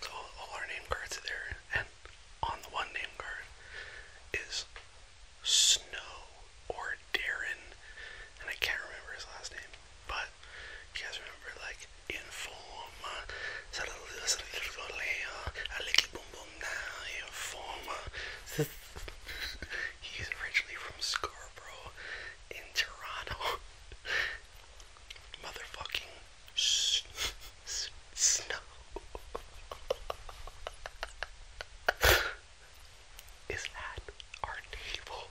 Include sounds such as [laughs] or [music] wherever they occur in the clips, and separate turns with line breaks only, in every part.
So all our name cards are there, and on the one name card is Snow or Darren, and I can't remember his last name, but you guys remember like Informa, [laughs] He's originally from Scarborough in Toronto. [laughs] motherfucking snow is at our table.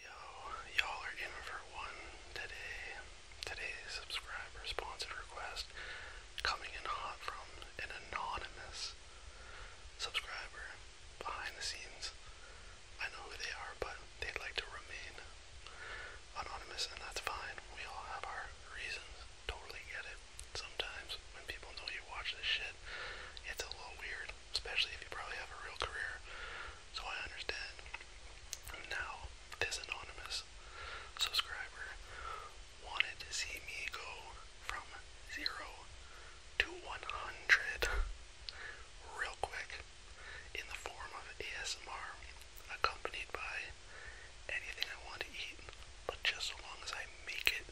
Yo, y'all are in for one today. Today's subscriber sponsored request coming in hot from an anonymous subscriber behind the scenes. I know who they are, but they'd like to remain anonymous, and that's fine. We all have our reasons. Totally get it. Sometimes when people know you watch this shit, it's a little weird, especially if you probably have a real career. So I understand. Now, this anonymous subscriber wanted to see me go from zero to 100 real quick in the form of ASMR accompanied by anything I want to eat, but just so long as I make it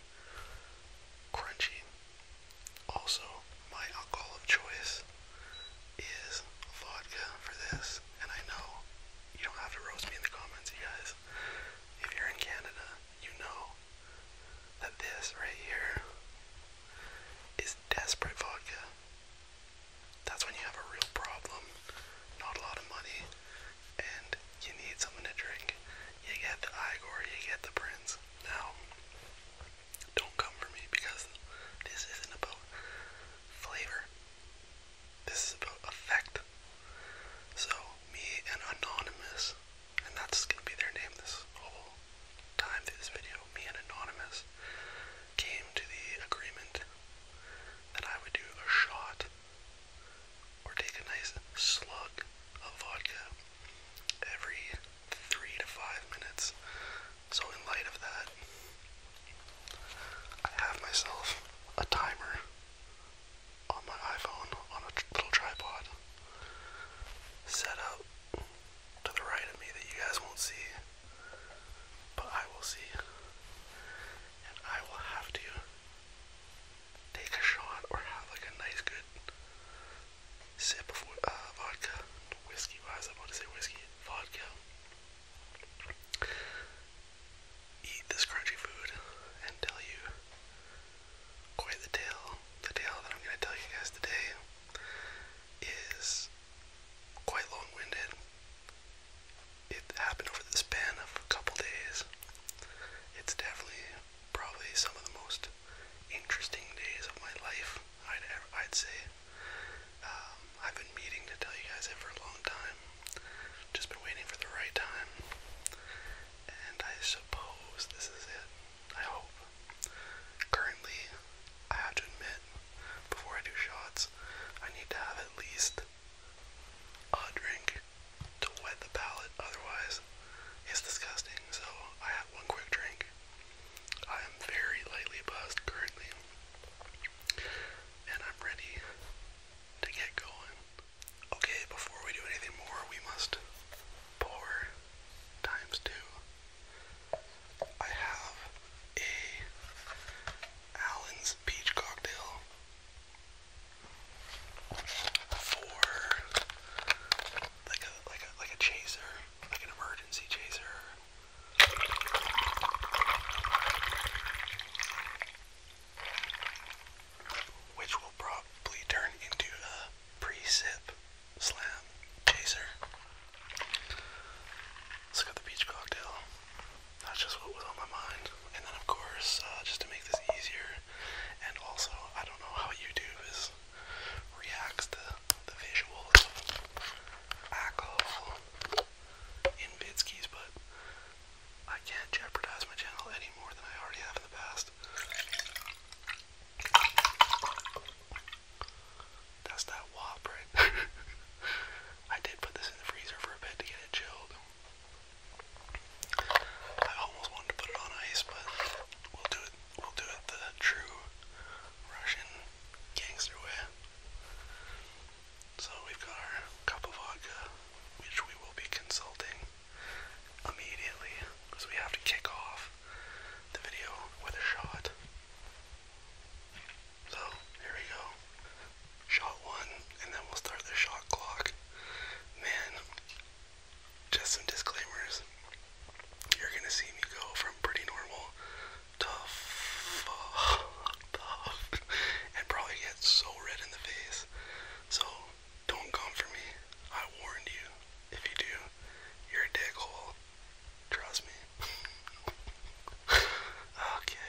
crunchy. Also, my alcohol of choice is vodka for this, and I know you don't have to roast me in the comments, you guys. If you're in Canada, you know that this right here is desperate vodka. That's when you have a real problem, not a lot of money, and you need something to drink. You get the Igor, you get the Prince. Now, don't come for me because this isn't about flavor. This is about effect. So, me and Anonymous, and that's gonna be their name this whole time through this video, me and Anonymous came to the agreement then I would do a shot or take a nice slug of vodka every three to five minutes. So, in light of that, I have myself a timer on my iPhone on a little tripod set up to the right of me that you guys won't see, but I will see and I will have to take a shot or have like a nice good sip of uh, vodka, whiskey. Why was I about to say whiskey? Vodka. Eat this crunchy food and tell you quite the tale. The tale that I'm going to tell you guys today is quite long-winded it happened over the span of a couple days. It's definitely probably some of the most interesting days of my life. I'd I'd say. Um, I've been meeting to tell you guys it for a long time. Just been waiting for the right time, and I suppose this is it. I hope. Currently, I have to admit, before I do shots, I need to have at least a drink to wet the palate, otherwise, it's disgusting. So, I had one quick drink. I am very lightly buzzed currently, and I'm ready to get going. Okay, before we do anything more, we must pour times two. I have a Allen's peach cocktail for like a like a like a chaser, like an emergency chaser. Which will probably turn into a pre-sip slam chaser. Let's go the peach cocktail. That's just what was on my mind. And then, of course, uh, just to make this easier, and also, I don't know how YouTube is reacts to the visuals of alcohol but I can't jeopardize my channel any more than I already have in the past. That's that wop, right? [laughs] I did put this in the freezer for a bit to get it chilled. I almost wanted to put it on ice, but we'll do it. the true Russian gangster way. So we've got our cup of vodka, which we will be consulting immediately, because we have to kick off the video with a shot. So here we go. Shot one, and then we'll start the shot clock. Man, just some disclaimers. You're gonna see me go from pretty normal to fuck tough and probably get so red in the face. So don't come for me. I warned you. If you do, you're a dickhole. Trust me. [laughs] okay.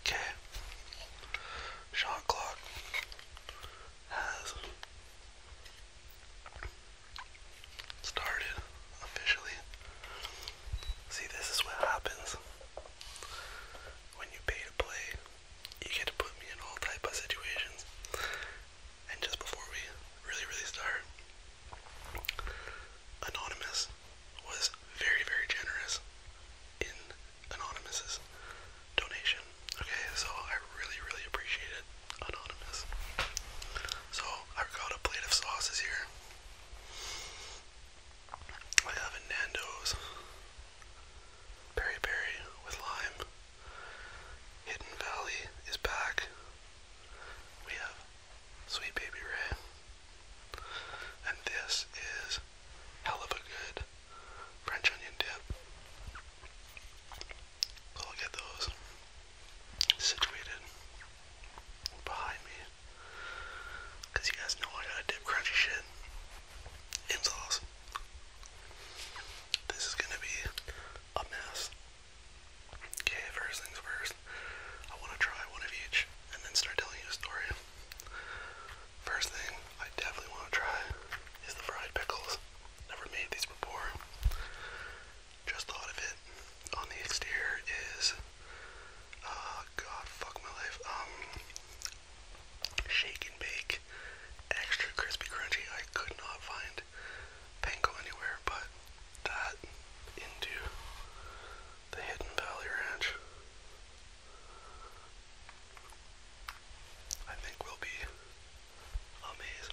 Okay, shot clock has started officially. See, this is what happens when you pay to play, you get to put me in all type of situations. And just before we really, really start, Anonymous was very, very generous in Anonymous's donation. Okay, so I really, really appreciate it, Anonymous. So I've got a plate of sauces here. I have a Nando's Peri Peri with lime. Hidden Valley is back. We have Sweet Baby Ray. And this is hell of a good French onion dip. So get those situated behind me. you guys know I gotta dip crunchy shit. It was This is gonna be a mess. Okay, first things first, I wanna try one of each and then start telling you a story. First thing I definitely wanna try is the fried pickles. Never made these before. Just thought of it. On the exterior is uh, God fuck my life. Um, Shake and bake, extra crispy crunchy. I could not find panko anywhere, but that into the Hidden Valley Ranch. I think will be amazed.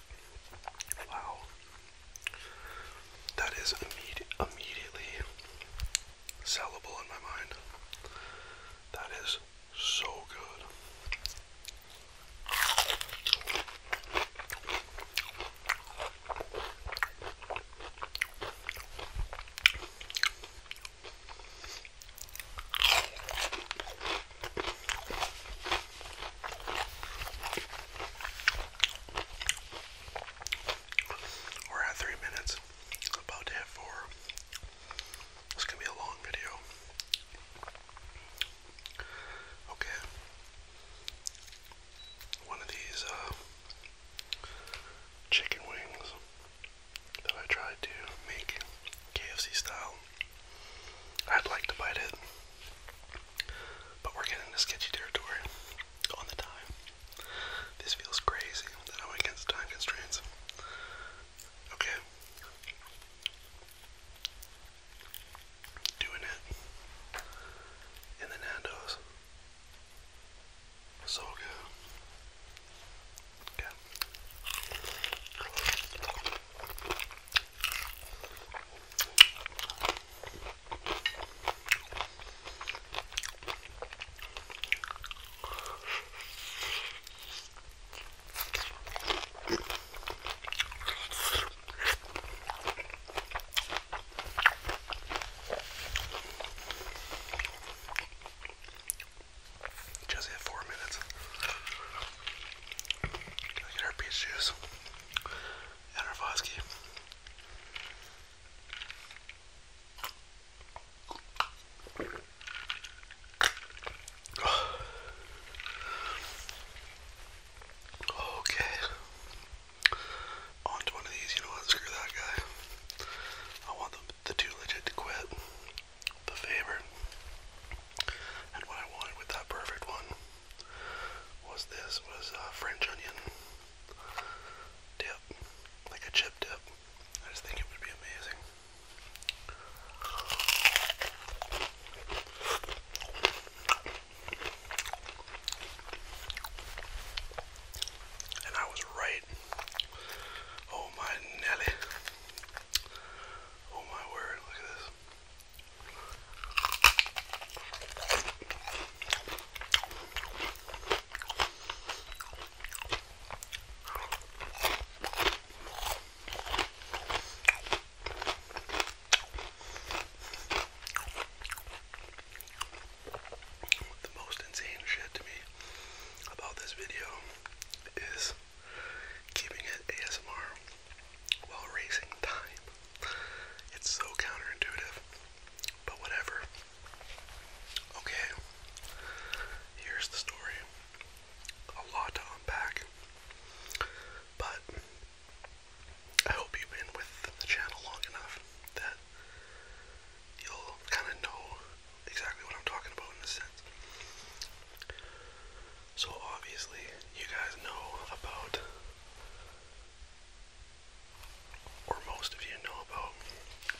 Wow. That is immediately sellable in my mind. That is so good. We're at three minutes, about to hit four. This gonna be a long video. Okay. One of these uh, chicken wings that I tried to make KFC style. I'd like to bite it, but we're getting into sketchy territory on the time. This feels crazy that I'm against time constraints. Okay. Doing it in the Nando's. So good. Okay. Just hit four minutes. Gotta get our peach juice and Okay. On to one of these, you know what? Screw that guy. I want the, the two legit to quit the favorite. And what I wanted with that perfect one was this was uh, French onion dip, like a chip dip. I just think it would be amazing. And I was right. Oh my Nelly. Oh my word, look at this. The most insane shit to me about this video is keeping it ASMR while racing time. It's so counterintuitive, but whatever. Okay, here's the story. A lot to unpack, but I hope you've been with the channel long enough that you'll kind of know exactly what I'm talking about in a sense. So obviously, you guys know about, or most of you know about,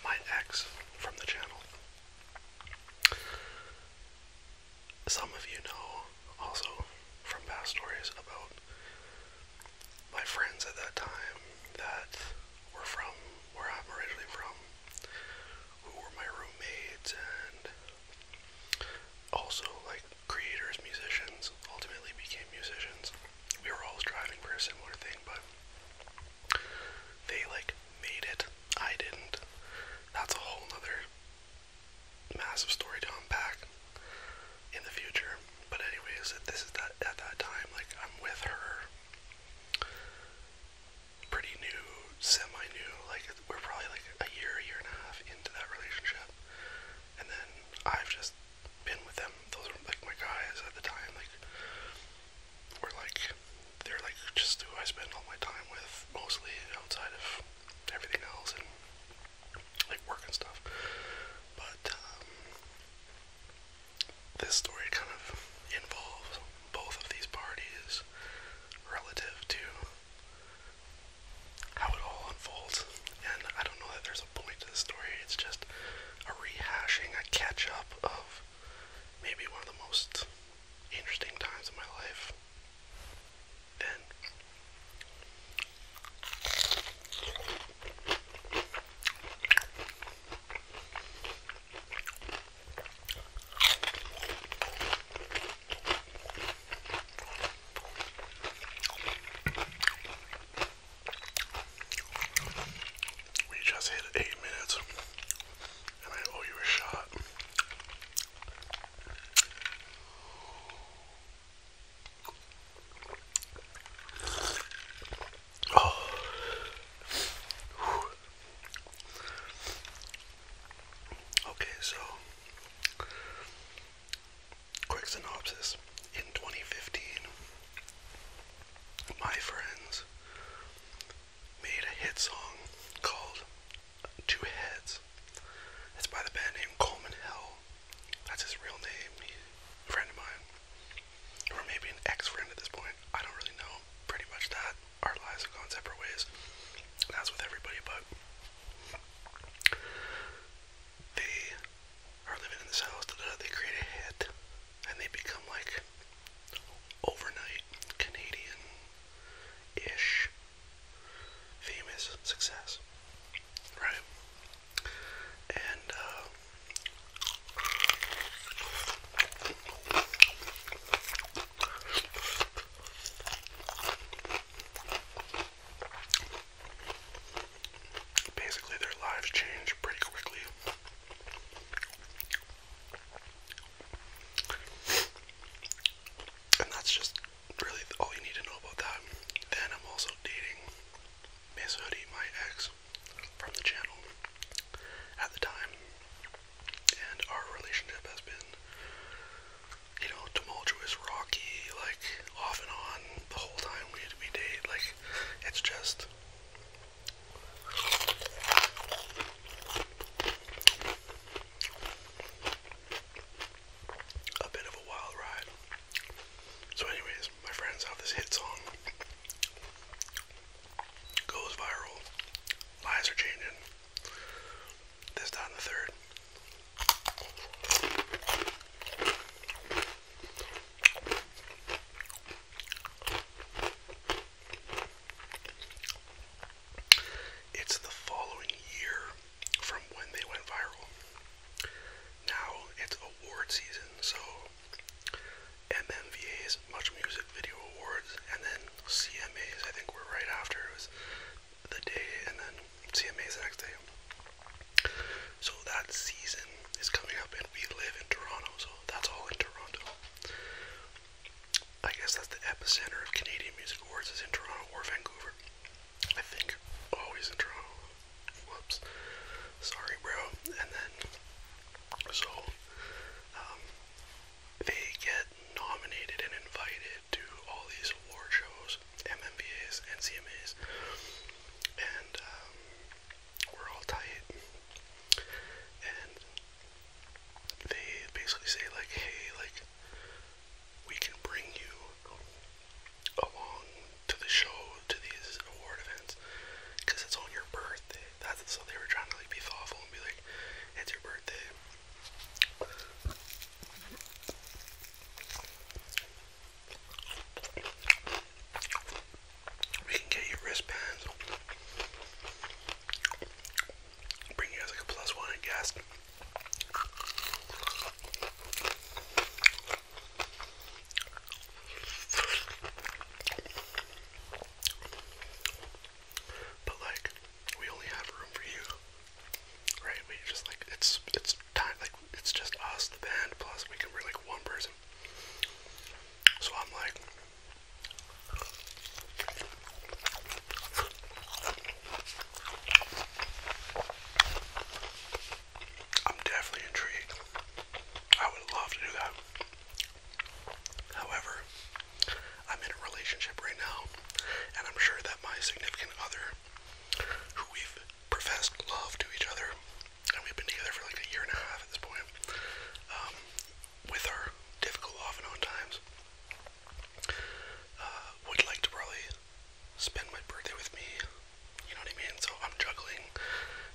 my ex from the channel. Some of you know also from past stories about my friends at that time that were from where I'm originally from, who were my roommates and also like creators, musicians, ultimately became musicians. We were all striving for a similar thing, but they like made it. I didn't. That's a whole other massive story to unpack in the future. But anyways, this is that at that time, like I'm with her. Pretty new, semi-new, like we're probably like a year, a year and a half into that relationship, and then I've just been with them. Those were like my guys at the time. Like, we're like, they're like just who I spend all my time with, mostly outside of everything else and like work and stuff. But um, this story kind of involves both of these parties relative to how it all unfolds. And I don't know that there's a point to the story, it's just a rehashing, a catch up of maybe one of the most interesting times in my life. And we just hit eight minutes, and I owe you a shot. Oh. Okay, so Quick synopsis. In 2015, my friends made a hit song called Two Heads. It's by the band named Coleman Hill. That's his real name. He, a friend of mine. Or maybe an ex friend at this point. I don't really know. Pretty much that. Our lives have gone separate ways. That's with everybody, but they are living in this house. Uh, they create a hit, and they become like overnight Canadian-ish famous success, right? And uh, Basically, their lives change pretty quickly. And that's just really all you need to know about that. Then I'm also dating Miss Hoodie, my ex, from the channel at the time. And our relationship has been you know, tumultuous, rocky, like off and on the whole time we we date. Like it's just a bit of a wild ride. So, anyways, my friends, how this hit song goes viral. Lives are changing. This, that, the third. It's the following year from when they went viral. Now it's award season, so MMVA's Much Music Video Awards and then CMA's, I think we're right after, it was the day and then see a the next day. So that season is coming up, and we live in Toronto, so that's all in Toronto. I guess that's the epicenter of Canadian Music Awards is in Toronto or Vancouver. I think always in Toronto. Whoops. Sorry, bro. And then so um, they get nominated and invited to all these award shows MMBAs, NCMAs, and um, we're all tight. And they basically say like, hey, like we can bring you along to the show, to these award events, because it's on your birthday. That's so they were trying to like be thoughtful and be like, it's your birthday. We can get you wristbands. Bring you guys like a plus one, I guess. But like, we only have room for you. Right? We just like it's it's time like it's just us, the band, plus we can we like one person. So I'm like I'm definitely intrigued. I would love to do that. However, I'm in a relationship right now, and I'm sure that my significant other who we've professed love to each other, and we've been together for like a year and a half at this point, um, with our difficult off and on times, uh, would like to probably spend my birthday with me. You know what I mean? So I'm juggling.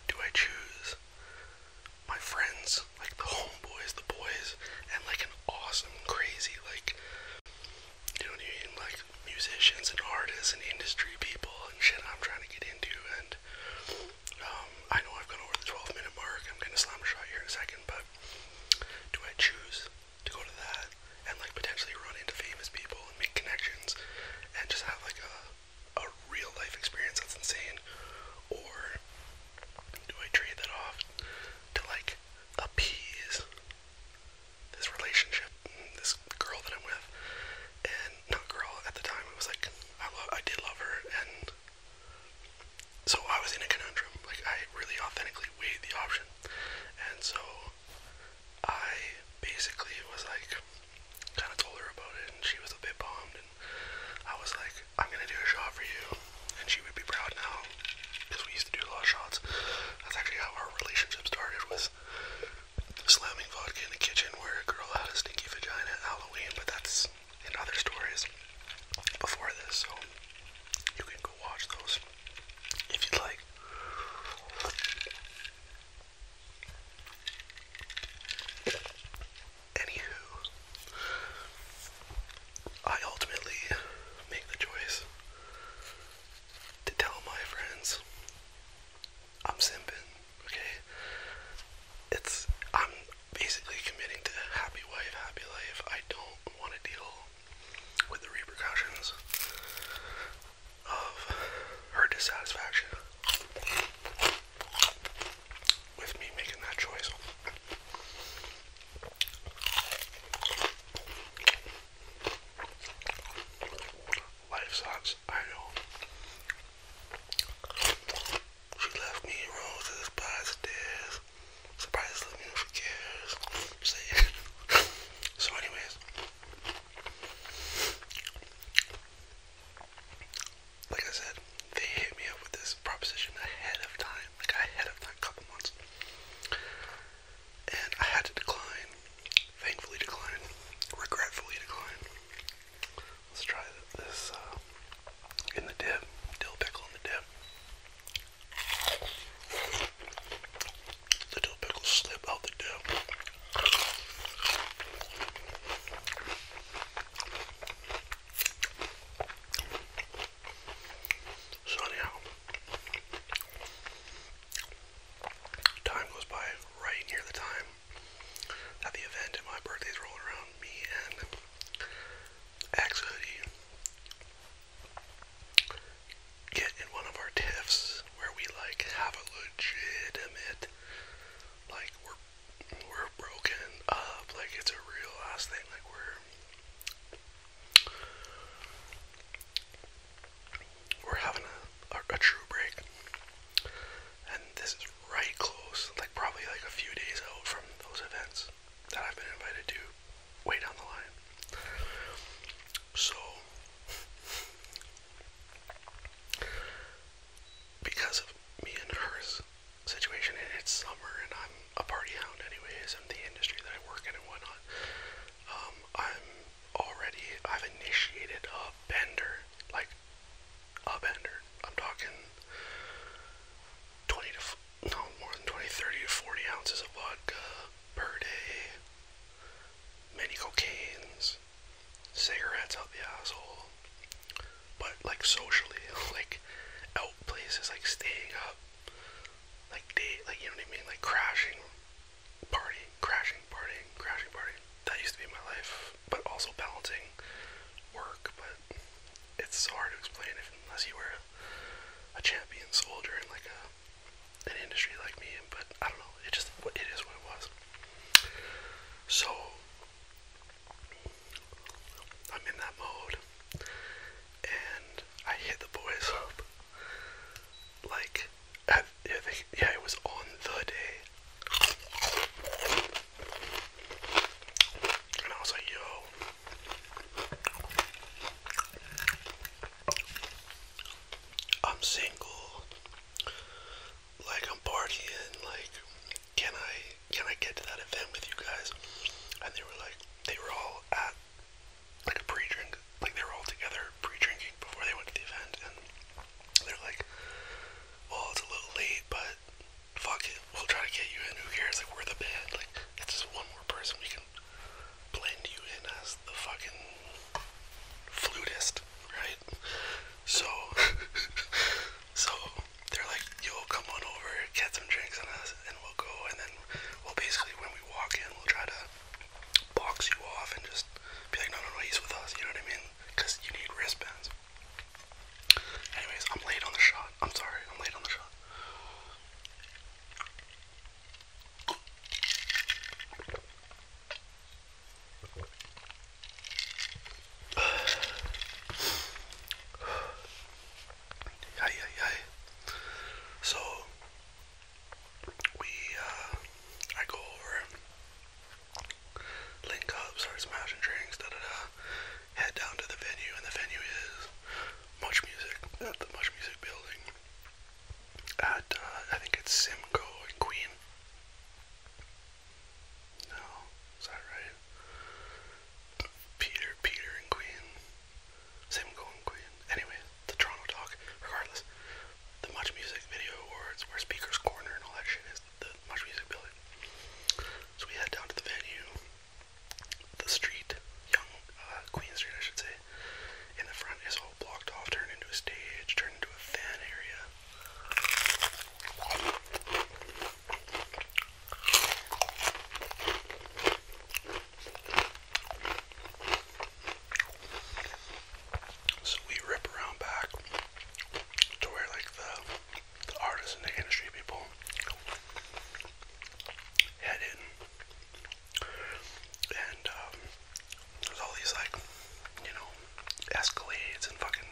Do I choose my friends, like the [laughs] homeboys, the boys, and like an awesome, crazy, like you know I Like musicians and artists and industry people and shit I'm trying to get into. And um, I know I've gone over the 12 minute mark. I'm gonna slam a shot here in a second, but do I choose to go to that and like potentially run into famous people and make connections and just have like a a real life experience that's insane, or do I trade that off to like appease this relationship, this girl that I'm with, and not girl at the time. It was like I love, I did love her, and so I was in a conundrum. Like I really authentically weighed the option, and so I basically was like, kind of told her about it, and she was a bit bummed, and I was like, I'm gonna do a shot for you, and she would be proud now, because we used to do a lot of shots. That's actually how our relationship started with slamming vodka in the kitchen where a girl had a stinky vagina at Halloween, but that's in other stories before this, so you can go watch those if you'd like. Anywho, I ultimately make the choice to tell my friends I'm simping, okay? It's I'm basically committing to happy wife, happy life. I don't want to deal with the repercussions of her dissatisfaction with me making that choice. Wife socks, I know. She left me roses by the stairs. Surprise, let me know cares. [laughs] So, anyways, like I said, they hit me up with this proposition ahead of time, like ahead of time, a couple months and I had to decline. Thankfully, decline. Regretfully, decline. Let's try this uh, in the dip. Dill pickle in the dip. The dill pickles slip out the dip. So anyhow, Time goes by right near the time that the event and my birthday's rolling around. Me and Axe Hoodie get in one of our tiffs where we like have a legitimate, like we're we're broken up, like it's a real ass thing, like we're we're having a, true break, and this is right close, like probably like a few days out from those events that I've been invited to way down the line. So, because of me and hers situation, and it's summer, and I'm a party hound, anyways, I'm the industry that I work in and whatnot. Um, I'm already, I've initiated a bender, like a bender. I'm talking 20 to, no, more than 20, 30 to 40 ounces of vodka per day, many cocaines, cigarettes out the asshole. But like socially, [laughs] like out places, like staying up, like date, like you know what I mean, like crashing partying, crashing, party crashing, party. That used to be my life, but also balancing work. But it's so hard to explain if, unless you were a champion soldier in like a an industry like me. But I don't know. It just it is what it was. So I'm in that mode, and I hit the boys up like, yeah, it was on the day. And I was like, yo. I'm single. Like I'm partying. Like, can I can I get to that event with you guys? And they were like, they were all at like pre-drink, like they were all together pre-drinking before they went to the event, and they're like, well, it's a little late, but fuck it, we'll try to get you in, who cares, like, we're the band, like, it's just one more person we can blend you in as the fucking flutist, right? So, [laughs] so, they're like, "You'll come on over, get some drinks on us, and we'll go, and then, well, basically, when we walk in, we'll try to box you off and just be like, no, no, no, he's with us. You know what I mean? Because you need wristbands. Anyways, I'm late on the shot. I'm sorry, I'm late on the shot. [sighs] Ay, ay, ay. So, we uh, I go over, link up, start smashing drinks, da da da. Head down to the venue, and the venue is Much Music at the Much Music building. At uh, I think it's Simcoe and Queen. No, is that right? Peter, Peter and Queen. Same going Queen. Anyway, the Toronto talk. Regardless, the Much Music Video Awards, where Speaker's Corner and all that shit is, the Much Music building. So we head down to the venue, the street, Young uh, Queen Street, I should say. In the front is all blocked off, turned into a stage, turned into a fan area. So we rip around back to where like the, the artists and the industry people head in. And um, there's all these like, you know, Escalades and fucking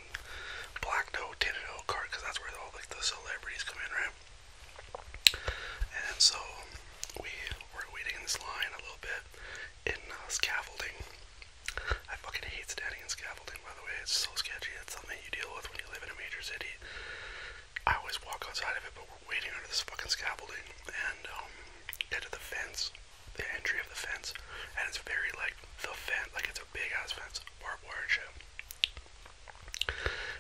black no tinted oak cart because that's where all like the celebrities come in, right? And so we were waiting in this line a little bit in uh, scaffolding. I fucking hate standing in scaffolding, by the way. It's so sketchy. It's something you deal with when you live in a major city. I always walk outside of it, but we're waiting under this fucking scaffolding and um, the fence, the entry of the fence, and it's very like the fence, like it's a big ass fence, barbed wire and shit.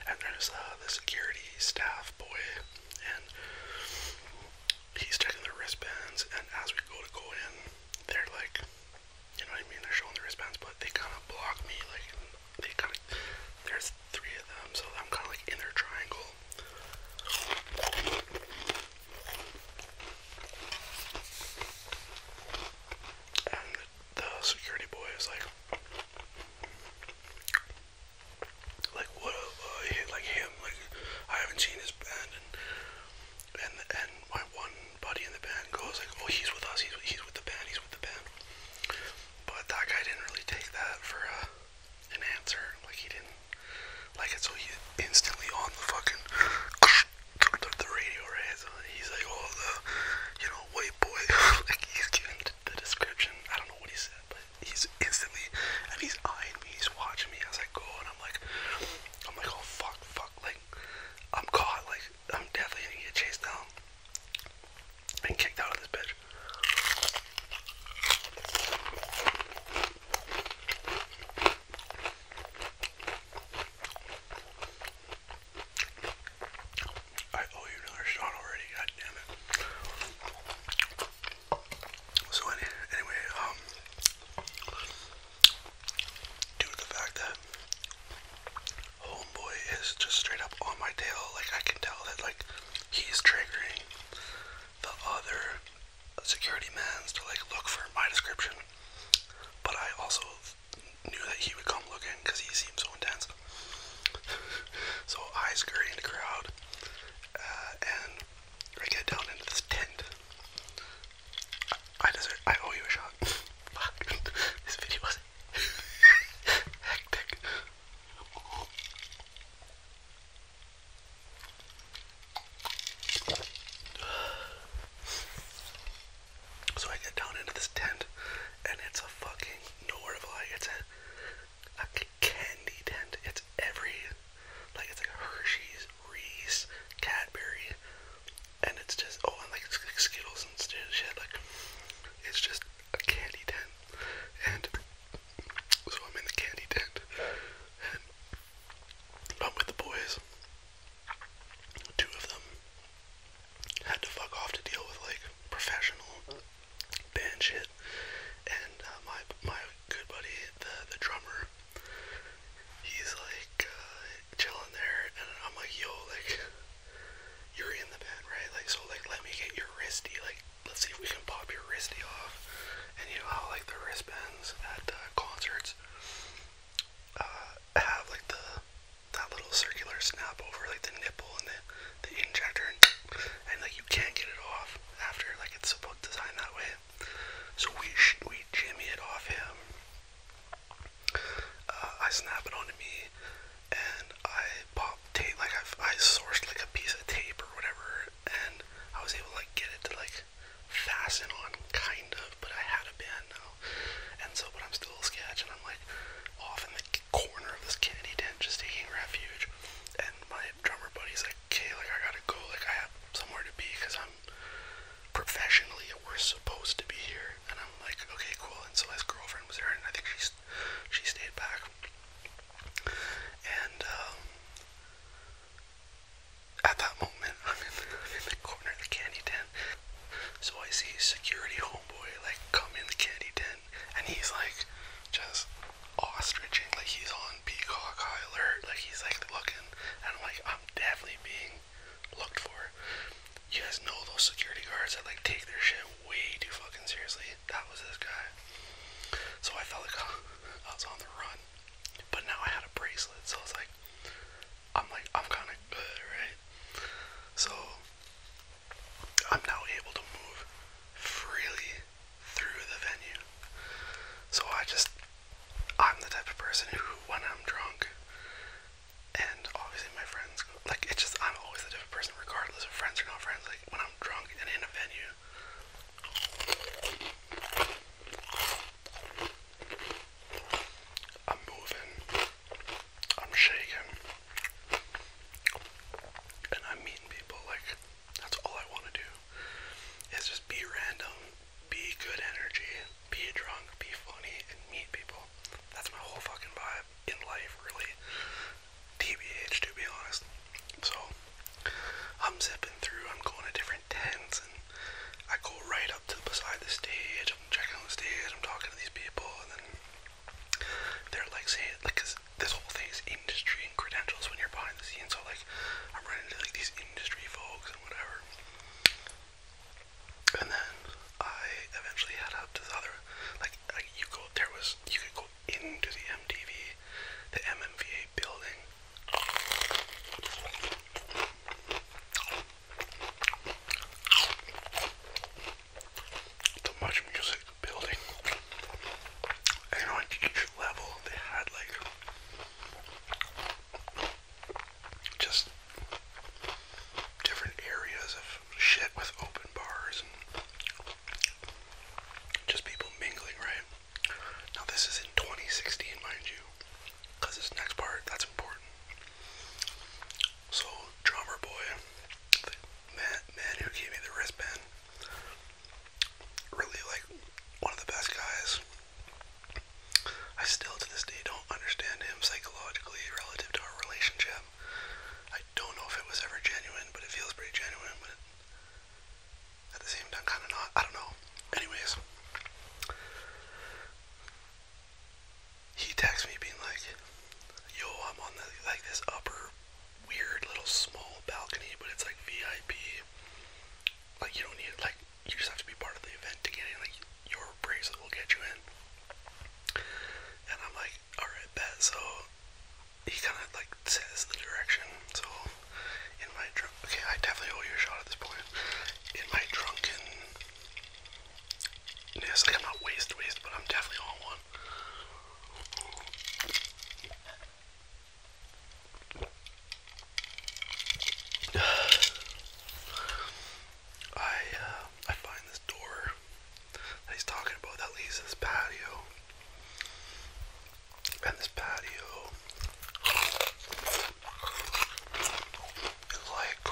And there's uh, the security staff boy, and he's checking the wristbands, and as we go to go in, they're like, you know what I mean? They're showing the wristbands, but they kind of block me. Like, they kind of, there's three of them, so I'm kind of like in their triangle. And the security boy is like, like what uh, like him like I haven't seen his band and and my one buddy in the band goes like oh he's with us he's he's with the band he's with the band but that guy didn't really take that for uh, an answer like he didn't like it so he instantly on the fucking the, the radio right he's like oh the you know white boy [laughs] like he's giving the description I don't know what he said but he's instantly and he's eyeing me, he's watching me as I go and I'm like I'm like oh fuck fuck like I'm caught like I'm definitely gonna get chased down and kicked out of this bitch. I owe you another shot already, god it. So anyway, um, due to the fact that homeboy is just straight up on my tail, like I can tell that like he's triggering the other security mans to like look for my description. But I also knew that he would come looking because he seemed so intense. [laughs] so I scurry in the crowd uh, and we get down into this tent. I, deserve. I owe you a shot. [laughs] Fuck. [laughs] this video was [laughs] hectic. So I get down into this tent, and it's a fucking nowhere of lie candy tent. It's every, like it's like Hershey's, Reese, Cadbury, and it's just oh, and like, like Skittles and shit. Like it's just a candy tent, and so I'm in the candy tent, and I'm with the boys. Two of them had to fuck off to deal with like professional band shit. And uh, my my good buddy, the the drummer, he's like uh, chilling there, and I'm like, yo, like you're in the band, right? Like, so like let me get your wristy, like let's see if we can pop your wristy off. And you know how like the wristbands at concerts uh, have like the that little circular snap over like the nipple and the the injector, and like you can't get it off after, like it's designed that way. So we we jimmy it off him. Uh, I snap it onto me, and I pop tape. Like I've, I sourced like a piece of tape or whatever, and I was able to like get it to like fasten on, kind of. But I had a band now, and so but I'm still a sketch, and I'm like off in the corner of this candy tent, just taking refuge. And my drummer buddy's like okay, like I gotta go, like I have somewhere to be because I'm professionally we're supposed to be here. And I'm like, okay, cool. And so his girlfriend was there, and I think she's she stayed back. And um, at that moment, [laughs] I'm in the corner of the candy den. So I see security homeboy like come in the candy den, and he's like just ostrich like he's on peacock alert. Like he's like looking, and I'm like, I'm definitely being looked for. You guys know those security guards that like take their shit way too fucking seriously. That was this guy. So I felt like [laughs] I was on the run, but now I had a bracelet, so I was like, I'm like, I'm kind of good, right? So I'm now able to move freely through the venue. So I just, I'm the type of person who, when I'm drunk, and obviously my friends, like it's just, I'm always the type of person, regardless of friends or not friends, like when I'm drunk and in a venue. I'm moving. I'm shaking. And I mean people like that's all I want to do is just be random, be good energy, be drunk, be funny, and meet people. That's my whole fucking vibe in life, really. TBH, to be honest. So, I'm zipping through, I'm going to different tents, and I go right up to beside the stage, I'm checking on the stage, I'm talking to these people, and then they're like saying, like, cause this whole thing is industry and credentials when you're behind the scenes. So like, I'm running into like these industry folks and whatever. And then I eventually head up to the other. Like, like you go there was you could go into the MTV, the MMVA building. The Much Music building. And on each level, they had like just different areas of shit with open bars and just people mingling, right? Now, this is in 2016, mind you, because this next part that's important. So, drummer boy, man, man who gave me the wristband, really like one of the best guys. I still to this day don't understand him psychologically relative to our relationship. I don't know if it was ever genuine, but it feels pretty genuine, but at the same time kind of not. I don't know. Anyways, he texts me being like, "Yo, I'm on the like this upper weird little small balcony, but it's like VIP. Like you don't need like you just have to be part of the event to get in. Like your bracelet will get you in. And I'm like, all right, bet. So he kind of like says the direction. So in my drunk, okay, I definitely owe you a shot at this point. In my drunkenness, like I'm not waste but I'm definitely on one. [sighs] I uh, I find this door that he's talking about that leads to this patio, and this patio is like.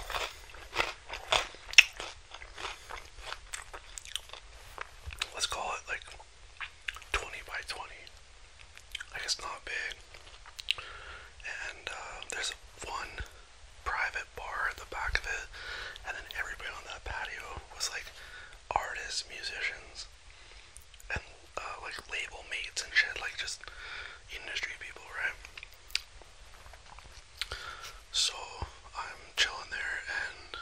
Let's call it like 20 by 20. Like it's not big. And uh, there's one private bar at the back of it, and then everybody on that patio was like artists, musicians, and uh, like label mates and shit, like just industry people, right? So I'm chilling there, and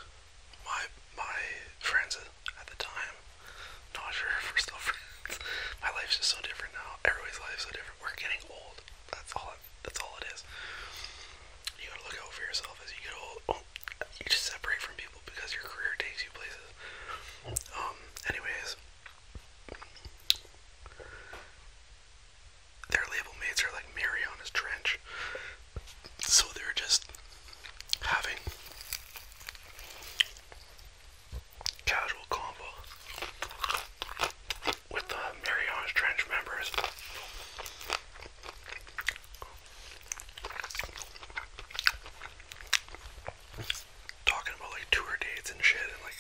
my my friends at the time. Not sure if we're still [laughs] friends. My life's just so different now. Everybody's life's so different. We're getting old. That's all. that's all it is. You gotta look out for yourself as you get old. you just separate from people because your career takes you places. Um. Anyways, their label mates are like Mary trench, so they're just having casual convo with the Marianas Trench members. Talking about like tour dates and shit and like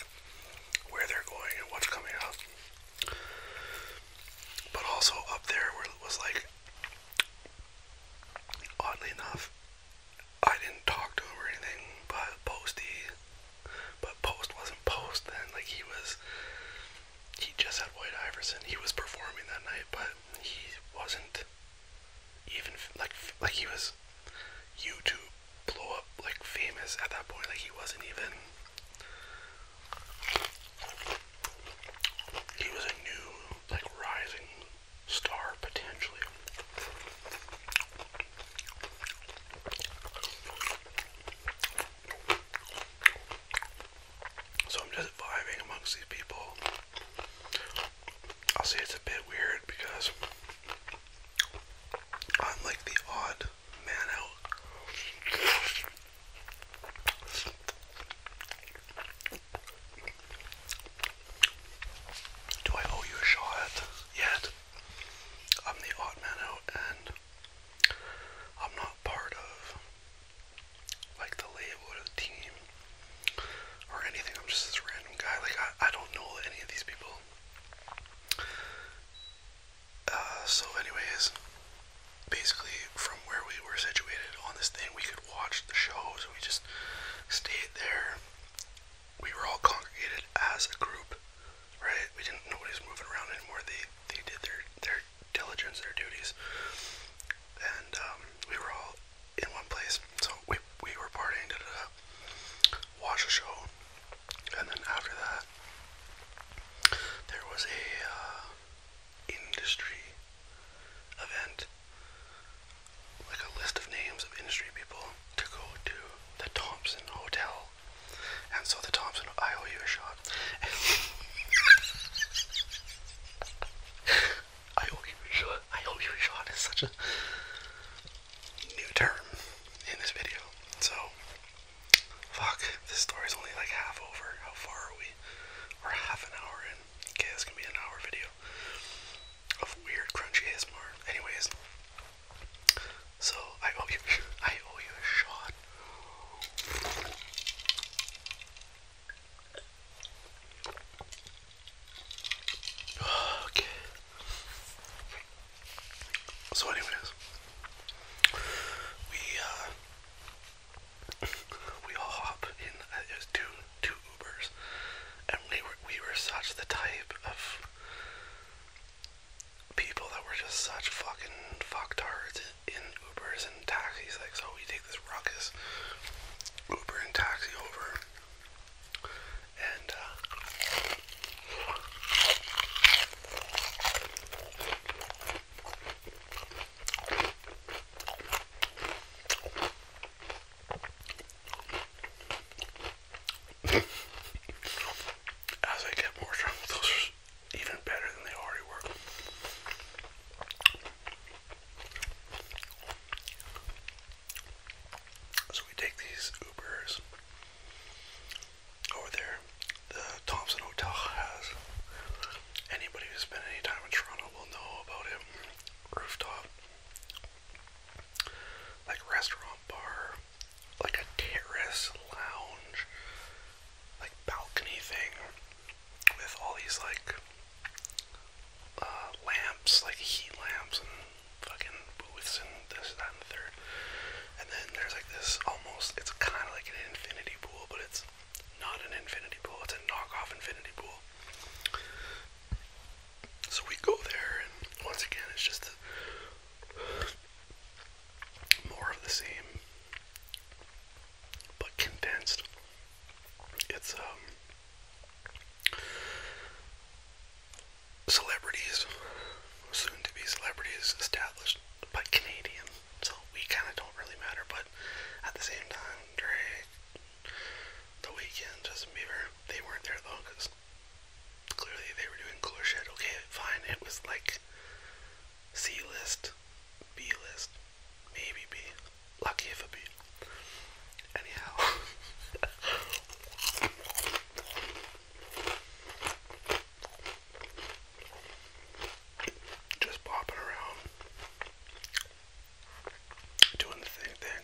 where they're going and what's coming up. But also up there where it was like oddly enough I didn't talk to him or anything, but Posty, but Post wasn't Post then. Like he was, he just had White Iverson. He was performing that night, but he wasn't even like like he was YouTube blow up like famous at that point. Like he wasn't even. He was a new like rising star potentially. So I'm just vibing amongst these people. I'll say it's a bit weird because I'm like the odd man out. Do I owe you a shot yet? I'm the odd man out, and I'm not part of like the label or the team or anything. I'm just this random guy. Like I, I don't know any of these people. Uh, so, anyways, basically from where we were situated on this thing, we could could watch the shows, and we just stayed there. We were all congregated as a group, right? We didn't nobody was moving around anymore. They they did their their diligence, their duties, and um, we were all in one place. So we we were partying, da da da. Watch a show, and then after that, there was a uh, industry event like a list of names of industry people to go to the Thompson Hotel. And so the Thompson, I owe you a shot. [laughs] I owe you a shot. I owe you a shot is such a new term in this video. So, fuck, this story's only like half over. How far are we? We're half an hour in. Okay, gonna be an hour video of weird crunchy ASMR. Anyways, so I owe you, [laughs] I owe you a shot. Okay. So, anyways, we uh, [laughs] we all hop in. Uh, it was two Ubers, and we were we were such the type of people that were just such fucking fucktards in Ubers and taxis. Like, so we take this ruckus Uber and taxi over, and uh, as I get more drunk, those are even better than they already were. So we take these Ubers over there. The Thompson Hotel has anybody who's spent any time in Toronto will know about it. Rooftop like restaurant bar, like a terrace lounge, like balcony thing with all these like uh, lamps, like heat lamps and fucking booths and this, that, and the And then there's like this almost, it's kind of like an infinity pool, but it's not an infinity pool, it's a knockoff infinity pool. So we go there, and once again, it's just a, more of the same, but condensed. It's um, celebrities, soon to be celebrities, established by Canadian. So we kind of don't really matter, but at the same time, great. The Weeknd, Justin Bieber, they weren't there though, because clearly they were doing cooler shit. Okay, fine, it was like C list, B list, maybe B. Lucky if a B. Anyhow. [laughs] Just bopping around doing the thing then.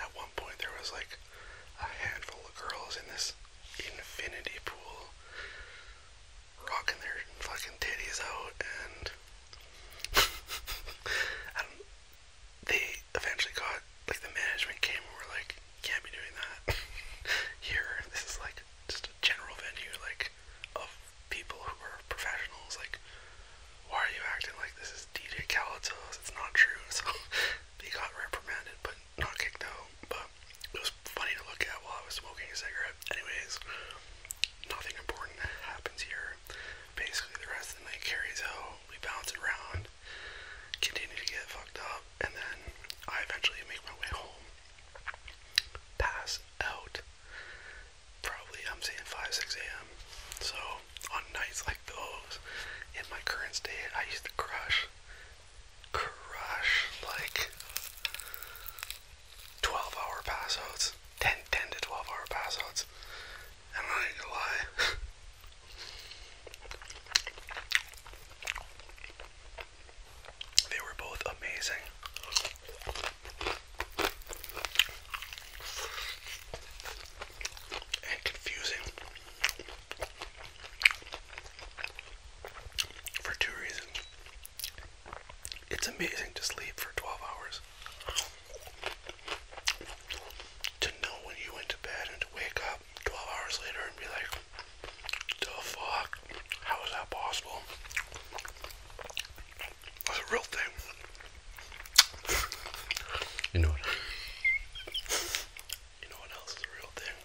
At one point there was like a handful of girls in this infinity pool rocking their fucking titties out and I [laughs] don't they eventually got like the management came and were like, can't be doing that [laughs] here. This is like just a general venue like of people who are professionals, like why are you acting like this is DJ Khaled's? It's not true. So [laughs] he got reprimanded, but not kicked out. But it was funny to look at while I was smoking a cigarette. Anyways, nothing important happens here. Basically, the rest of the night carries on. We bounce around, continue to get fucked up, and then I eventually make my way home, pass out, probably I'm saying 5, 6 a.m. So on nights like those, in my current state, I used to crush, crush like 12 hour pass outs, 10, 10 to 12 hour pass outs. I'm not even gonna lie. [laughs] they were both amazing and confusing for two reasons. It's amazing to sleep for 12 hours. To know when you went to bed and to wake up 12 hours later and be like, the fuck? How is that possible? That's a real thing. You know what? You know what else is a real thing?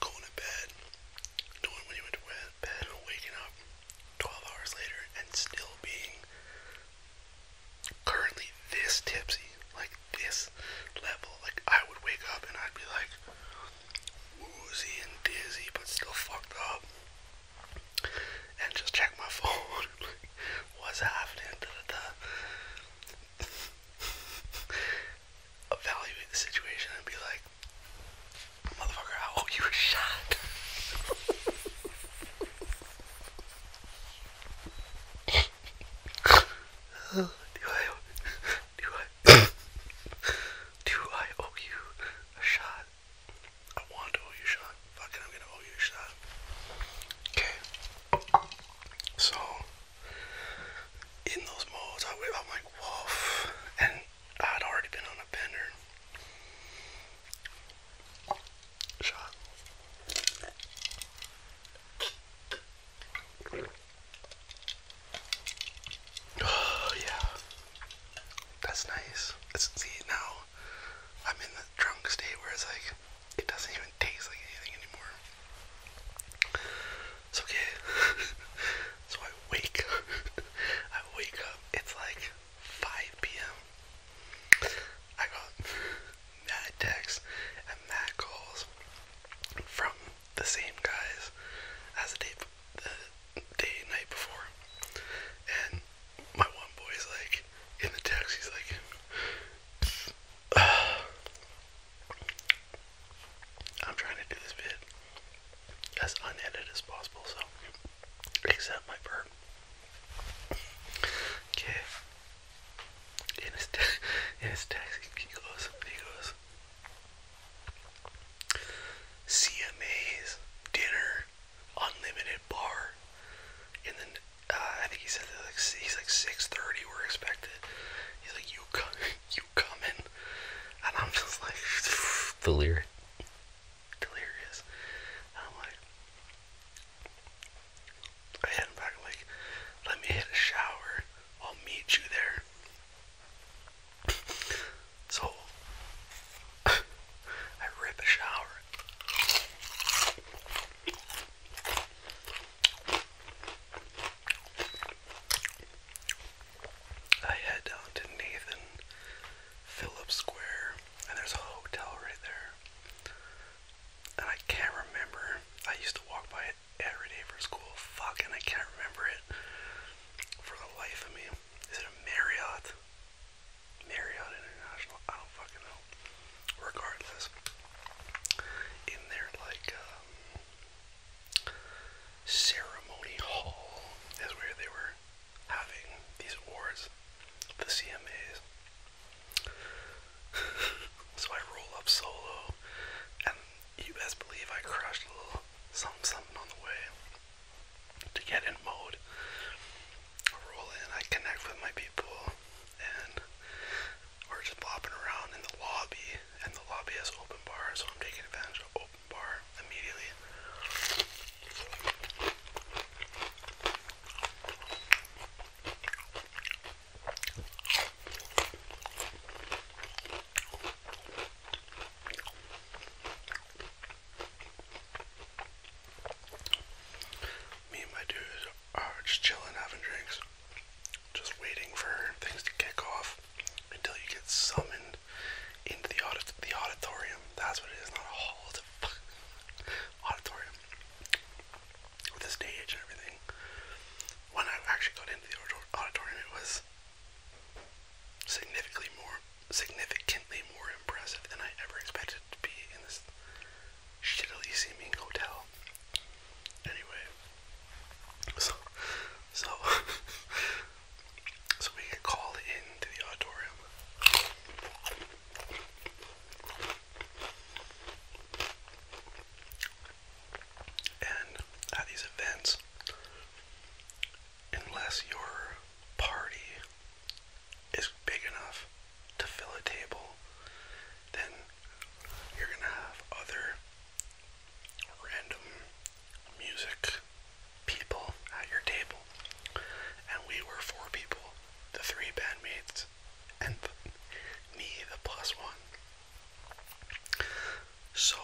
Going to bed, doing when you went to bed, waking up 12 hours later and still being currently this tipsy, like this level. Like I would wake up and I'd be like woozy and dizzy, but still fucked up and just check my [laughs] phone. what's happening? [laughs] Evaluate the situation and be like, motherfucker, I owe you a shot. [laughs] do I, do I, do I owe you a shot? I want to owe you a shot. Fuck I'm gonna owe you a shot. Okay. So in those modes, I am like, woof, and I'd already been on a bender. Shot. Oh [sighs] yeah, that's nice. Let's see now. I'm in the drunk state where it's like it doesn't even taste like anything anymore. It's okay. [laughs] so I wake [laughs] I wake up. It's like 5 p.m. I got mad texts and mad calls from the same guys as the day, the day night before, and my one boy's like in the text, he's like, I'm trying to do this bit as unedited as possible, so except my burp. Okay. In his, te- in his text, he goes, he goes, CMA's dinner unlimited bar. And then uh, I think he said that like he's like 6:30. We're expected. He's like you come, [laughs] you coming, and I'm just like [laughs] delirious, delirious. I'm like, I hit back. like, let me hit a shower. I'll meet you there. [laughs] So [laughs] I rip a shower. I head down to Nathan Phillips Square, and there's a hotel right there. And I can't remember. I used to walk by it every day for school. Fuck, and I can't remember it for the life of me. Is it a Marriott? Marriott International, I don't fucking know. Regardless, in their like um, ceremony hall is where they were having these awards, the CMAs. [laughs] so I roll up solo, and you best believe I crashed a little something, something on the way to get in mode, roll in, I connect with my people, and we're just bopping around in the lobby, and the lobby has open bar, so I'm taking advantage of open bar immediately. Me and my dude are just chilling, having drinks, just waiting for things to kick off until you get summoned into the the auditorium. That's what it is, not a hall, it's a [laughs] auditorium with this stage and everything. When I actually got into the auditorium, it was significantly more significantly more impressive than I ever expected to be in this shittily seeming hotel. Anyway, so so [laughs] so we get called into the auditorium. And at these events, unless your party is big enough to fill a table, then you're gonna have other random music people at your table. And we were four people, the three bandmates, and me, the plus one. So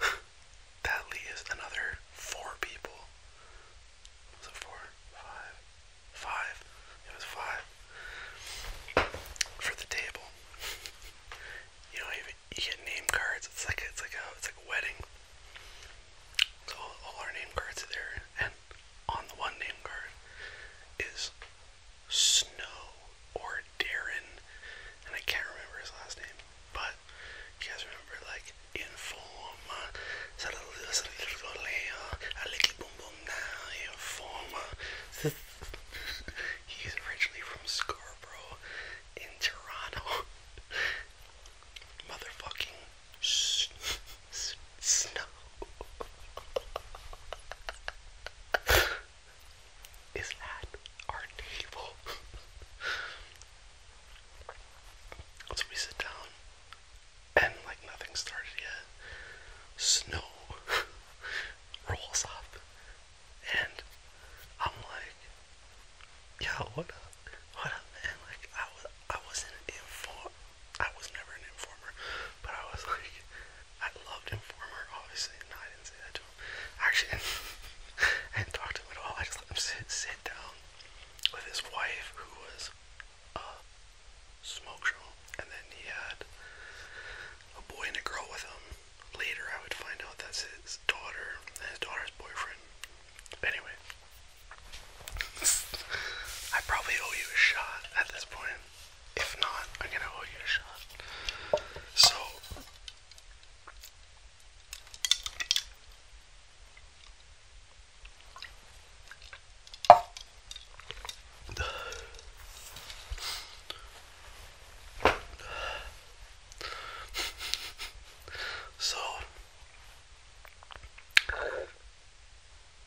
[laughs] that leaves another four people was it four? It was five. For the table. You know, you, get name cards. It's like it's like a it's like a wedding. So all, our name cards are there, and on the one name card is Snow or Darren, and I can't remember his last name. But you guys remember, like in forma. Saludos al Goleo, al equipo Mundial Forma. He's originally from Scarborough in Toronto. [laughs] Motherfucking s s [laughs] is at our table. [laughs] so we sit down and like nothing started yet. Snow [laughs] rolls up, and I'm like, "Yo, what up? What up, man?" Like I was, I wasn't inform, I was never an informer, but I was [laughs] like, I loved informer, obviously. and I didn't say that to him. Actually, [laughs] I didn't talk to him at all. I just let him sit, sit down with his wife, who was uh, smoke show. And then he had a boy and a girl with him. Later, I would find out that's his daughter and his daughter's boyfriend. Anyway, [laughs] I probably owe you a shot at this point. If not, I'm gonna owe you a shot. So, [sighs] So,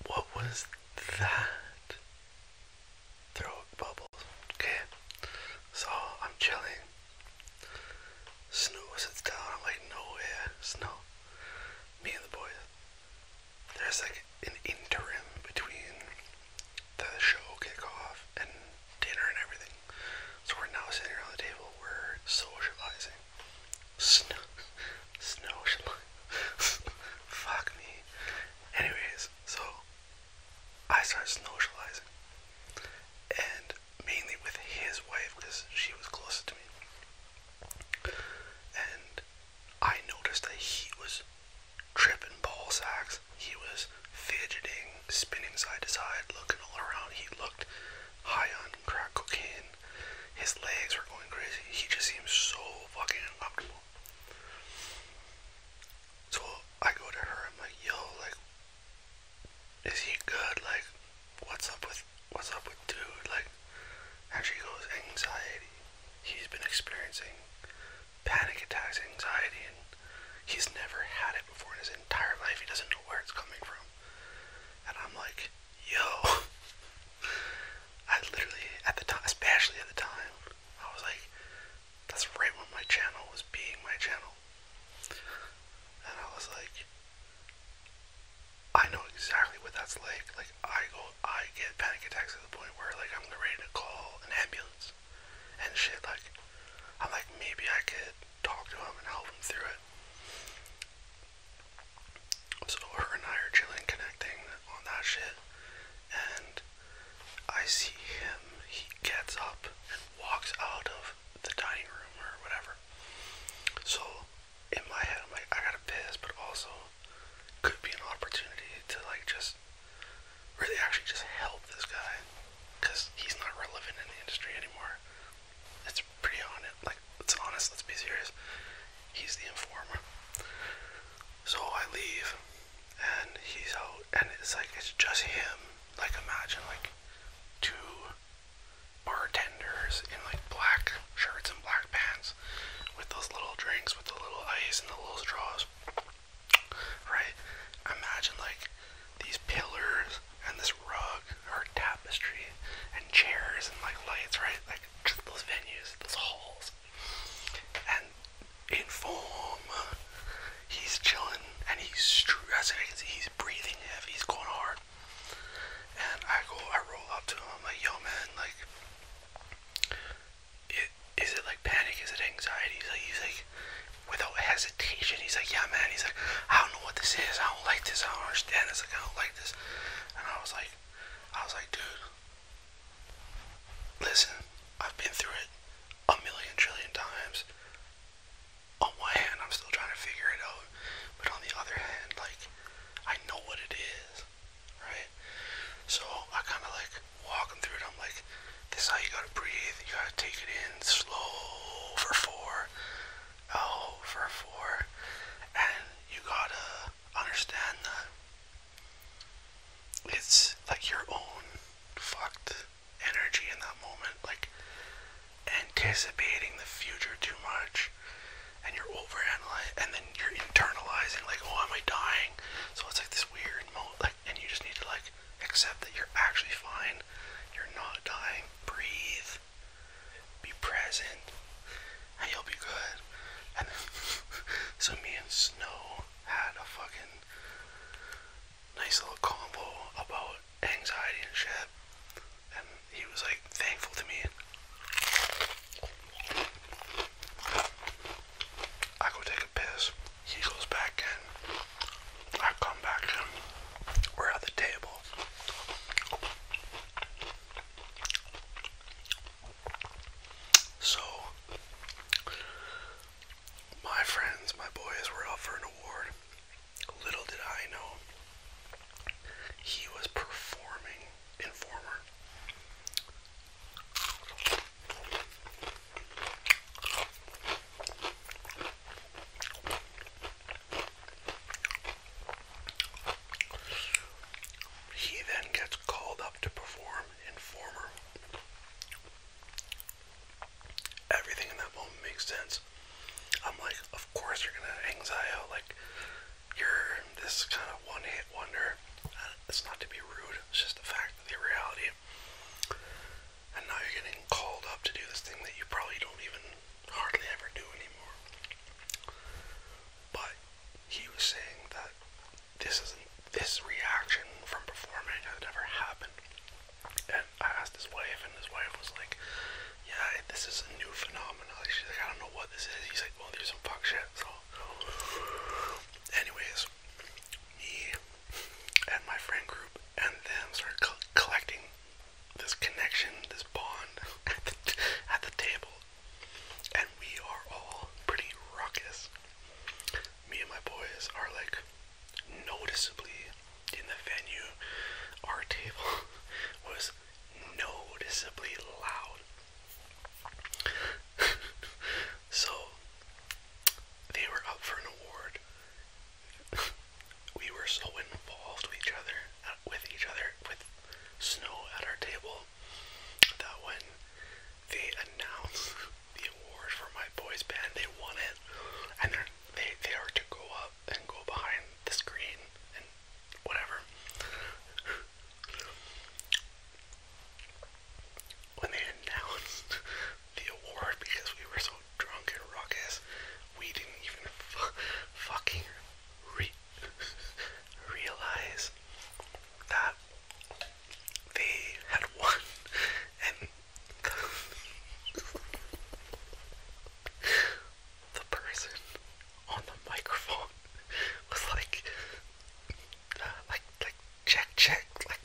what was that? Throat bubbles. Okay, so I'm chilling. Snow sits down. I'm like, no Snow. Me and the boys there's like an interim between the show kickoff and dinner and everything. So we're now sitting around the table, we're socializing. Snow, snow, [laughs] fuck me. Anyways, so I started snowshoeing, and mainly with his wife because she was closest to me. And I noticed that he was tripping ballsacks. He was fidgeting, spinning side to side, looking all around. He looked high on crack cocaine. His legs were going crazy. He just seemed so fucking optimal. So I go to her. I'm like, yo, like, is he good? Like, what's up with what's up with dude, like, and she goes, anxiety. He's been experiencing panic attacks, anxiety, and he's never had it before in his entire life. He doesn't know where it's coming from. And I'm like, yo. [laughs] I literally, at the time, especially at the time, I was like, that's right when my channel was being my channel. And I was like, I know exactly what that's like. Like I go, I get panic attacks to the point where like I'm ready to call an ambulance and shit. Like I'm like maybe I could talk to him and help him through it. So her and I are chilling, connecting on that shit, and I see him. He gets up and walks out of the dining room or whatever. So in my head, I'm like, I gotta piss, but also could be an opportunity to like just really actually just help this guy because he's not relevant in the industry anymore. It's pretty on Like, let's be honest. Let's be serious. He's the informer. So I leave, and he's out, and it's like it's just him. Like imagine like two bartenders in like black shirts and black pants with those little drinks with the little ice and the little straws. Right? Imagine like these pillars and this rug or tapestry and chairs and like lights, right? Like just those venues, those halls. And inform. he's chilling and he's stressing. I he's breathing heavy, he's going hard. And I go, I roll up to him, I'm like, yo man, like is it like panic? Is it anxiety? He's like, he's like, without hesitation, he's like, yeah, man. He's like, I don't know what this is. I don't like this. I don't understand It's Like, I don't like this. And I was like, I was like, dude, listen, I've been through it a million trillion times. On one hand, I'm still trying to figure it out, but on the other hand, like, I know what it is right? So I kind of like walk them through it. I'm like, this is how you gotta breathe. You gotta take it in slow for four, out oh, for four, and you gotta understand that it's like your own fucked energy in that moment, like anticipating the future too much and you're over and then you're internalizing like oh am I dying so it's like this weird moment like and you just need to like accept that you're actually fine you're not dying breathe be present and you'll be good and [laughs] so me and Snow had a fucking nice little combo about anxiety and shit and he was like thankful to me I go take a piss. He goes back in. I come back We're at the table. So, my friends, my boys were up for an award. Little did I know, he was performing Informer. He then gets called up to perform Informer. Everything in that moment makes sense. I'm like, of course you're gonna hang Zio, like you're this kind of one hit wonder. Uh, it's not to be rude, it's just the fact of the reality. And now you're getting called up to do this thing that you probably don't even hardly ever do anymore. But he was saying that this isn't this reaction from performing had never happened. And I asked his wife, and his wife was like, "Yeah, this is a new phenomenon." She's like, "I don't know what this is." He's like, "Well, there's some fuck shit." So Anyways, me and my friend group and them started collecting this connection, this bond [laughs] at the, at the table. And we are all pretty raucous. Me and my boys are like noticeably in the venue. Our table [laughs] was noticeably loud so they were up for an award. we were so involved with each other, with each other, with snow at our table, that when they announced the award for my boys' band, they won it, and they they are to go up and go behind the screen and whatever. when they announced the award because we were so drunk and raucous, we didn't even f fucking re realize that they had won and [laughs] the person on the microphone [laughs] was like, uh, like, like, check, check, like,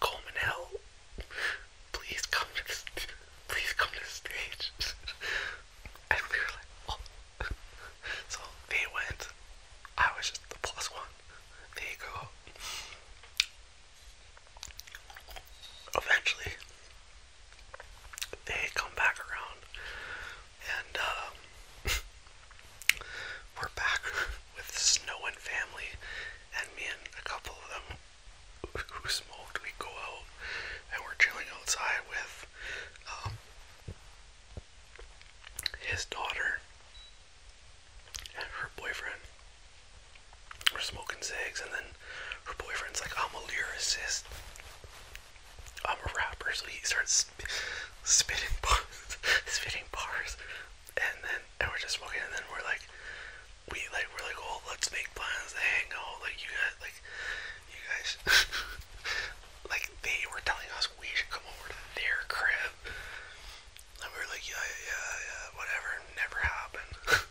Coleman Hell, please come to this, please come to the stage. [laughs] and we were like, oh. [laughs] So they went, I was just the plus one. They go. Eventually, they come back around and um, [laughs] we're back [laughs] with Snow and family, and me and a couple of them [laughs] who smoked. We go out and we're chilling outside with um, his daughter and her boyfriend. We're smoking zigs, and then her boyfriend's like, "I'm a lyricist." I'm a rapper, so he starts spitting [laughs] bars, spitting bars, and then and we're just walking, and then we're like, we like we're like, oh, let's make plans to hang out, like you guys, like you guys, [laughs] like they were telling us we should come over to their crib, and we are like, yeah, yeah, yeah, yeah whatever, never happened. [laughs]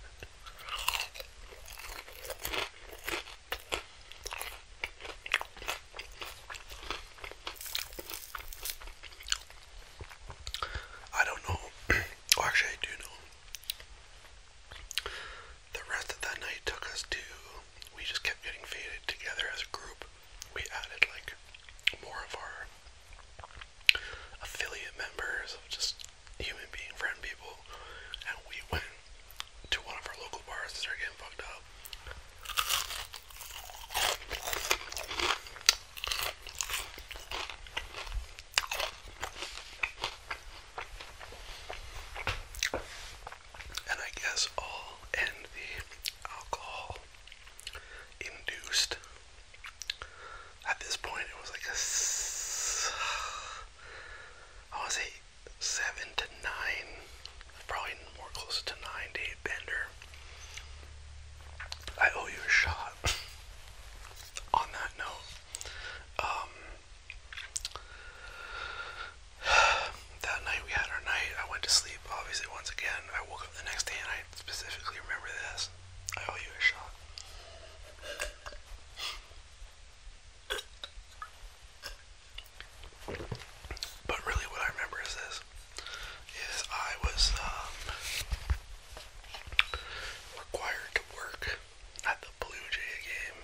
I don't know. [clears throat] actually, I do know. The rest of that night took us to. We just kept getting faded together as a group. We added like more of our affiliate members of just human being friend people, and we went to one of our local bars and start getting fucked up. And I guess all in the alcohol induced. At this point, it was like a. I want seven to nine, probably more close to nine day bender. I owe you a shot. [laughs] On that note, um, [sighs] that night we had our night. I went to sleep, obviously, once again. I woke up the next day and I specifically remember this. I owe you a shot. But really, what I remember is this: is I was um, required to work at the Blue Jay game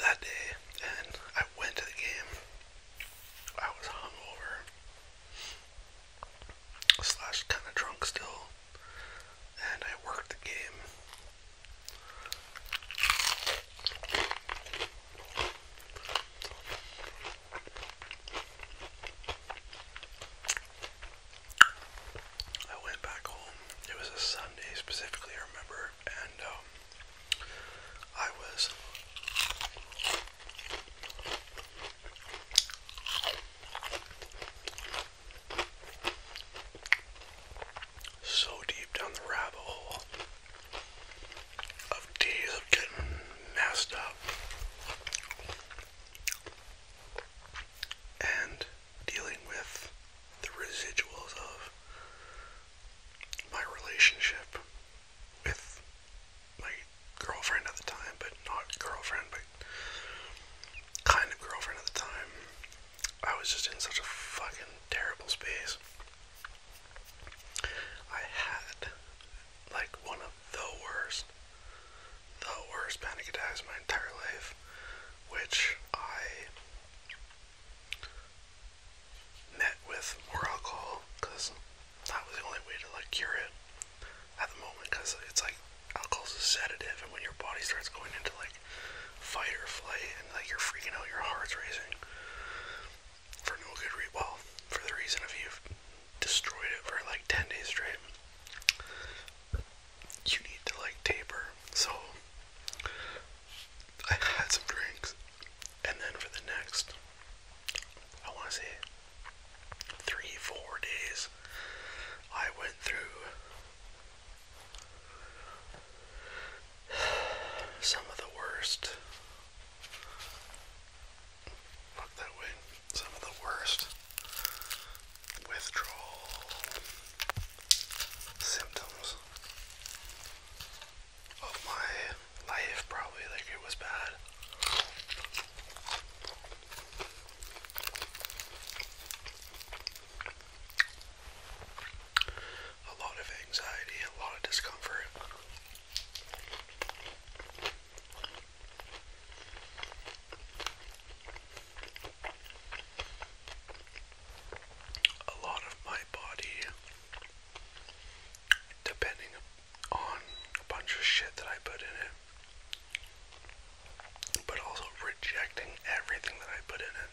that day, and I went to the game. I was hungover, slash kind of drunk still, and I worked the game I went back home. It was a Sunday specifically, I remember, and um, I was so deep down the rabbit hole of days of getting messed up. And dealing with the residuals of my relationship with my girlfriend at the time, but not girlfriend, but kind of girlfriend at the time. I was just in such a fucking terrible space. I had like one of the worst, the worst panic attacks of my entire life, which I met with more alcohol because that was the only way to like cure it at the moment because it's like alcohol's a sedative and when your body starts going into like fight or flight and like you're freaking out your heart's racing for no good reason. Well, for the reason if you've destroyed it for like 10 days straight, you need to like taper. So I had some drinks, and then for the next, I want to say, three, four days, I went through [sighs] some of the worst, not that way, some of the worst withdrawal symptoms of my life, probably. Like, it was bad a lot of anxiety, a lot of discomfort. A lot of my body, depending on a bunch of shit that I put in it, but also rejecting everything that I put in it.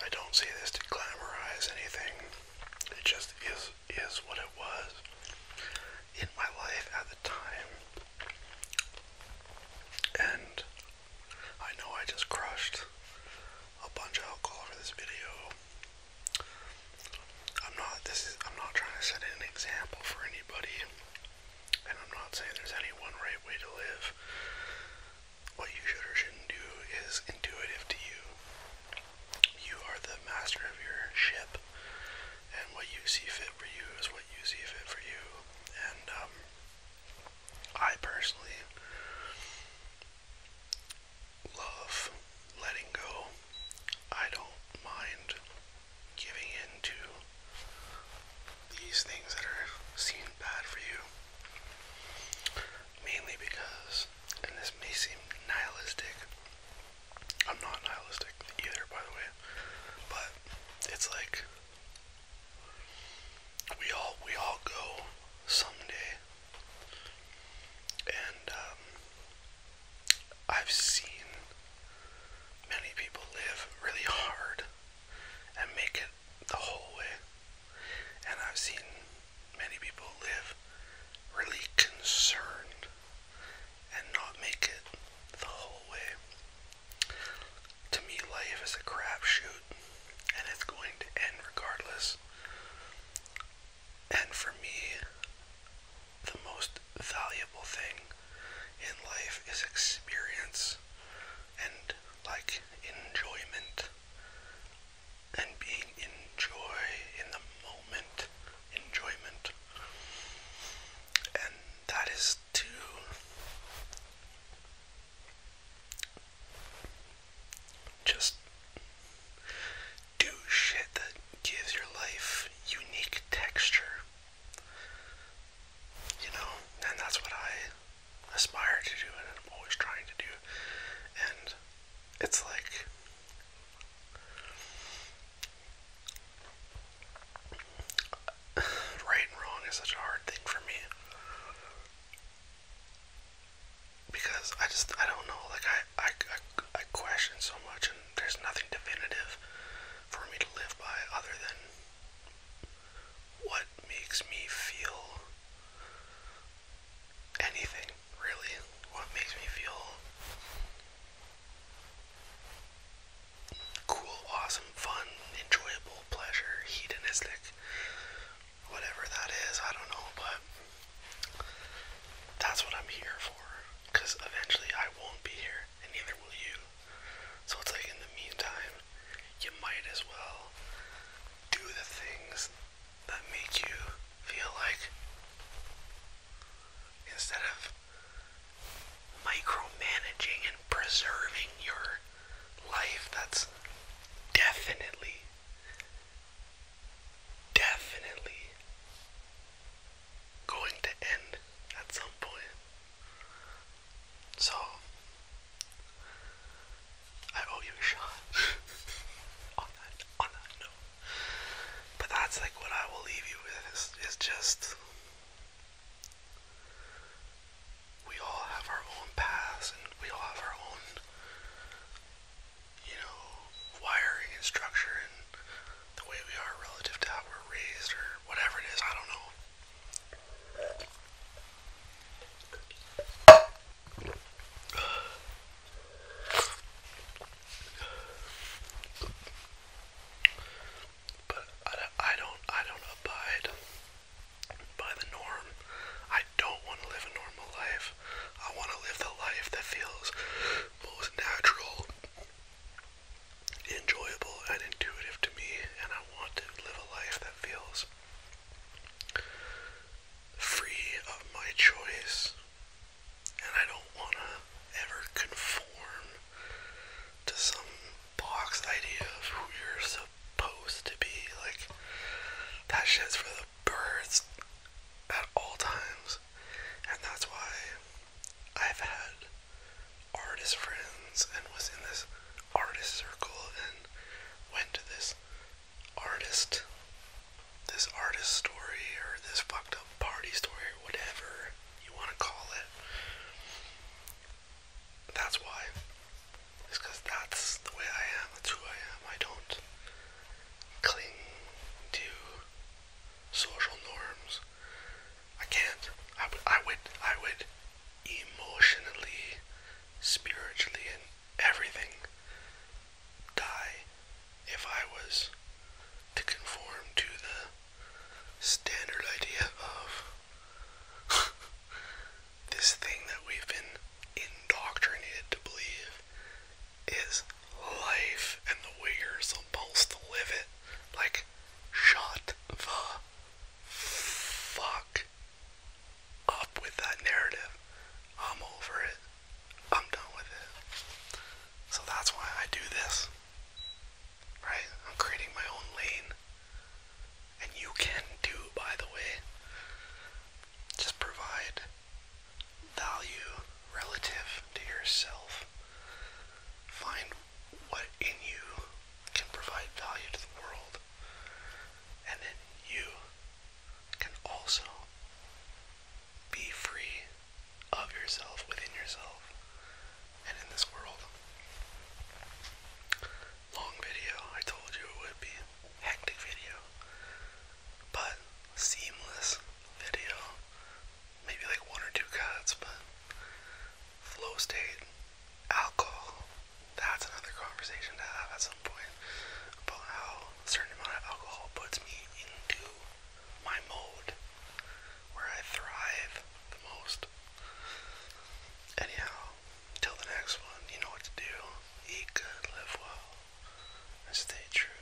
I don't see this to glamorize anything. It just is is what it was in my life at the time. And I know I just crushed a bunch of alcohol for this video, I'm not this is I'm not trying to set an example for anybody and I'm not saying there's any one right way to live. What you should or shouldn't do is intuitive to you. You are the master of your ship and what you see fit for you is what you see fit for you. And um, I personally love letting go. I don't mind giving in to these things that are seen bad for you. Mainly because, and this may seem nihilistic, I'm not nihilistic either, by the way, but it's like we all we all go someday, and um, I've seen many people live really hard and make it the whole way. And I've seen many people live really concerned and not make it the whole way. To me, life is a crapshoot and it's going to end regardless. And for me, the most valuable thing in life is experience and like enjoyment and being in joy in the moment, enjoyment. And that is to just do shit that gives your life unique texture. You know, and that's what I aspire to do, and I'm always trying to do. And it's like right and wrong is such a hard thing for me because I just I don't know like I I, I, I question so much and there's nothing definitive for me to live by other than what makes me feel anything, really. What makes me feel cool, awesome, fun, enjoyable, pleasure, hedonistic, whatever that is, I don't know, but that's what I'm here for because eventually I won't be here, and neither will you. So it's like in the meantime, you might as well do the things that make you feel like instead of micromanaging and preserving your life that's definitely definitely going to end at some point. So, I owe you a shot [laughs] on that on that note. But that's like what I will leave you with is, just we all have our own paths and we all have our own you know wiring and structure and the way we are relative to how we're raised or whatever it is, I don't know. But I, don't I don't abide by the norm. I don't want to live a normal life. I want to live the life that feels most natural enjoyable and intuitive to me, and I want to live a life that feels free of my choice. And I don't want to ever conform to some box idea of who you're supposed to be. Like, that shit's for the birds at all times. And that's why I've had artist friends and was in this artist circle and went to this artist this artist story or this fucked up party story whatever you want to call it. That's why. It's because that's the way I am. That's who I am. I don't cling to social norms. I can't. I would. I would. I would emotionally, spiritually, and everything die if I was to conform to the standard idea of [laughs] this thing that we've been indoctrinated to believe is life and the way you're supposed to live it. Like, shut the fuck up with that narrative. I'm over it. I'm done with it. So that's why I do this. Right? I'm creating my own lane. And you can do, by the way. Just provide value relative to yourself. Find what in you can provide value to the world, and then you can also be free of yourself within yourself and in this world. Long video, I told you it would be. Hectic video, but seamless video maybe like one or two cuts, but flow state, alcohol, that's another conversation to have at some point about how a certain amount of alcohol puts me into my mode where I thrive the most. Anyhow, till the next one, you know what to do. Eat good, live well, and stay true.